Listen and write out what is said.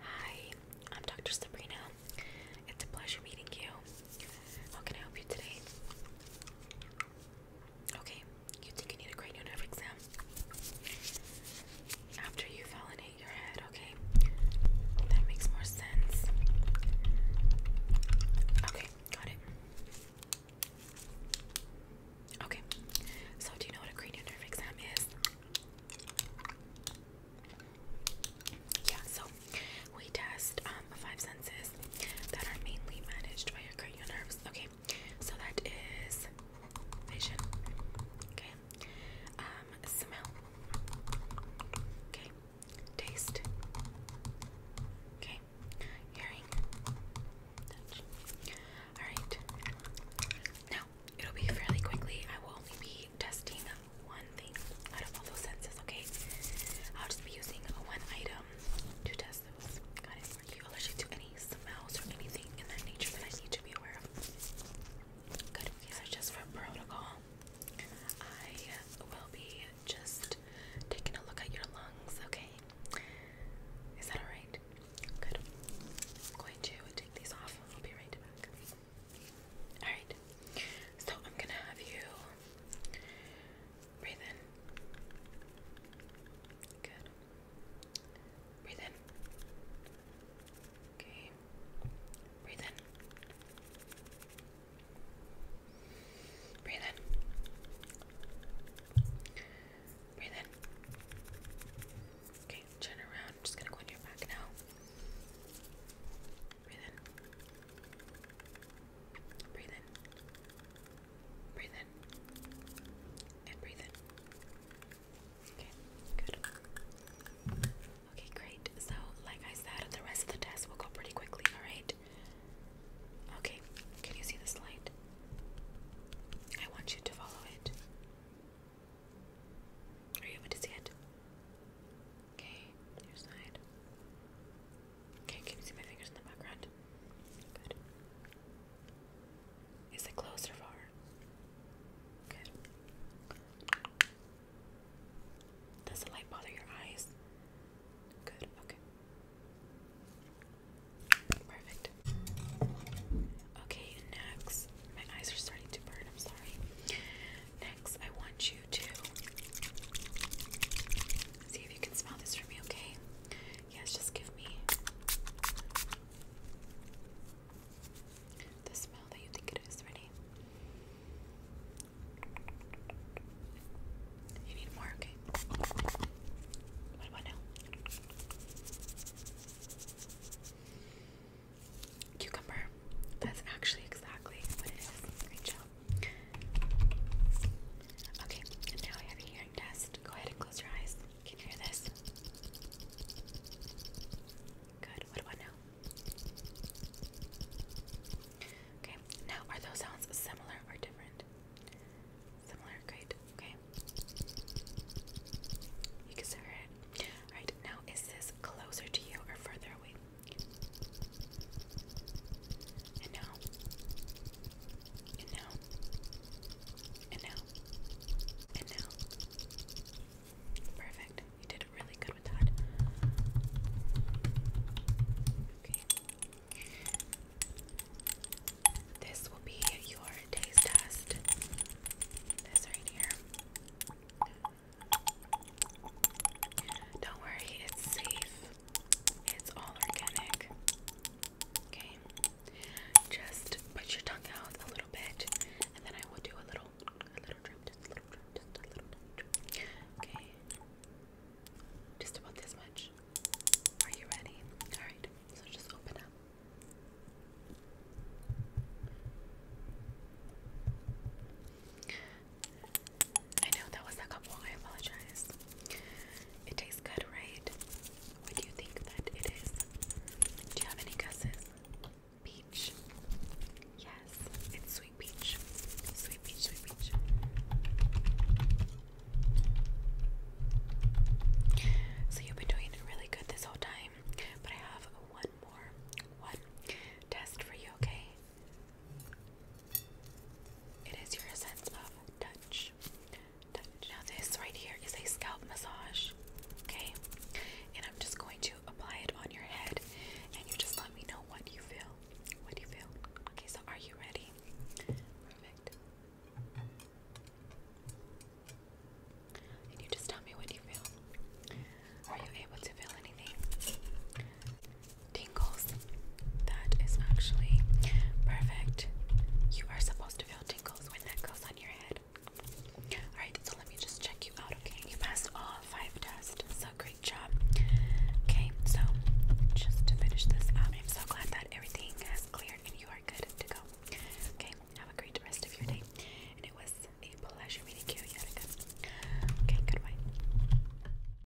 Hi, I'm Dr. Sabrina. It's a pleasure meeting you. How can I help you today? Okay, you think you need a cranial nerve exam? After you validate your head, okay? That makes more sense. Okay, got it. Okay, so do you know what a cranial nerve exam is? Yeah, so we test um, five senses that are mainly managed by your cranial nerves. Okay, so that is vision, okay, um, smell, okay, Taste. Okay. Hearing. Touch. Alright. Now, it'll be fairly quickly. I will only be testing one thing out of all those senses, okay? I'll just be using one item to test those. Got it. Are you allergic to any smells or anything in that nature that I need to be aware of? Good. These are just for protocol. I will be just taking a look at your lungs, okay? Is that alright? Good. I'm going to take these off. I'll be right back. Alright. So I'm going to have you breathe in. Good. Breathe in. Okay. Breathe in. Breathe in. Breathe in. Okay, turn around. I'm just gonna go on your back now. Breathe in. Breathe in. Breathe in. And breathe in. Okay, good. Okay, great. So, like I said, the rest of the test will go pretty quickly, alright? Okay, can you see this light? I want you to follow it. Are you able to see it? Okay, your side. Okay, can you see my fingers in the background? Good. Is it close or far? Good. Does the light bother your eyes? Good, okay. Perfect. Okay, next. My eyes are starting to burn, I'm sorry. Next, I want you to see if you can smell this for me, okay? Yes, just give me the smell that you think it is. Ready? You need more, okay? What about now? Cucumber. That's actually exactly what it is. Great Okay, and now I have a hearing test. Go ahead and close your eyes. Can you hear this? Good. What about now? Okay. Now, are those sounds similar or different? Similar. Great. Okay. You can hear it. All right. Now, is this closer to you or further away? And now. And now. And now. And now. Perfect. You did really good with that. Okay. This will be your taste test. This right here. Don't worry, it's safe. It's all organic. Okay. Just put your tongue out a little bit, and then I will do a little, a little drip, just a little drip, just a little drip. Okay. Just about this much. Are you ready? All right. So just open up. I know that was a couple. I apologize. It tastes good, right? What do you think that it is? Do you have any guesses? Peach. Yes, it's sweet peach. Sweet peach, sweet peach. So you've been doing really good this whole time, but I have one more one test for you, okay? It is your sense of touch. Now this right here is a scalp massage. Okay? And I'm just going to apply it on your head and you just let me know what you feel. What do you feel? Okay, so are you ready? Perfect. And you just tell me what you feel. Are you able to feel anything? tingles. That is actually perfect. You are supposed to feel tingles when that goes on your head. Alright, so let me just check you out, okay? You passed all five tests, so great job. Okay, so just to finish this up, I'm so glad that everything has cleared and you are good to go. Okay, have a great rest of your day. And it was a pleasure meeting you yet Okay, goodbye.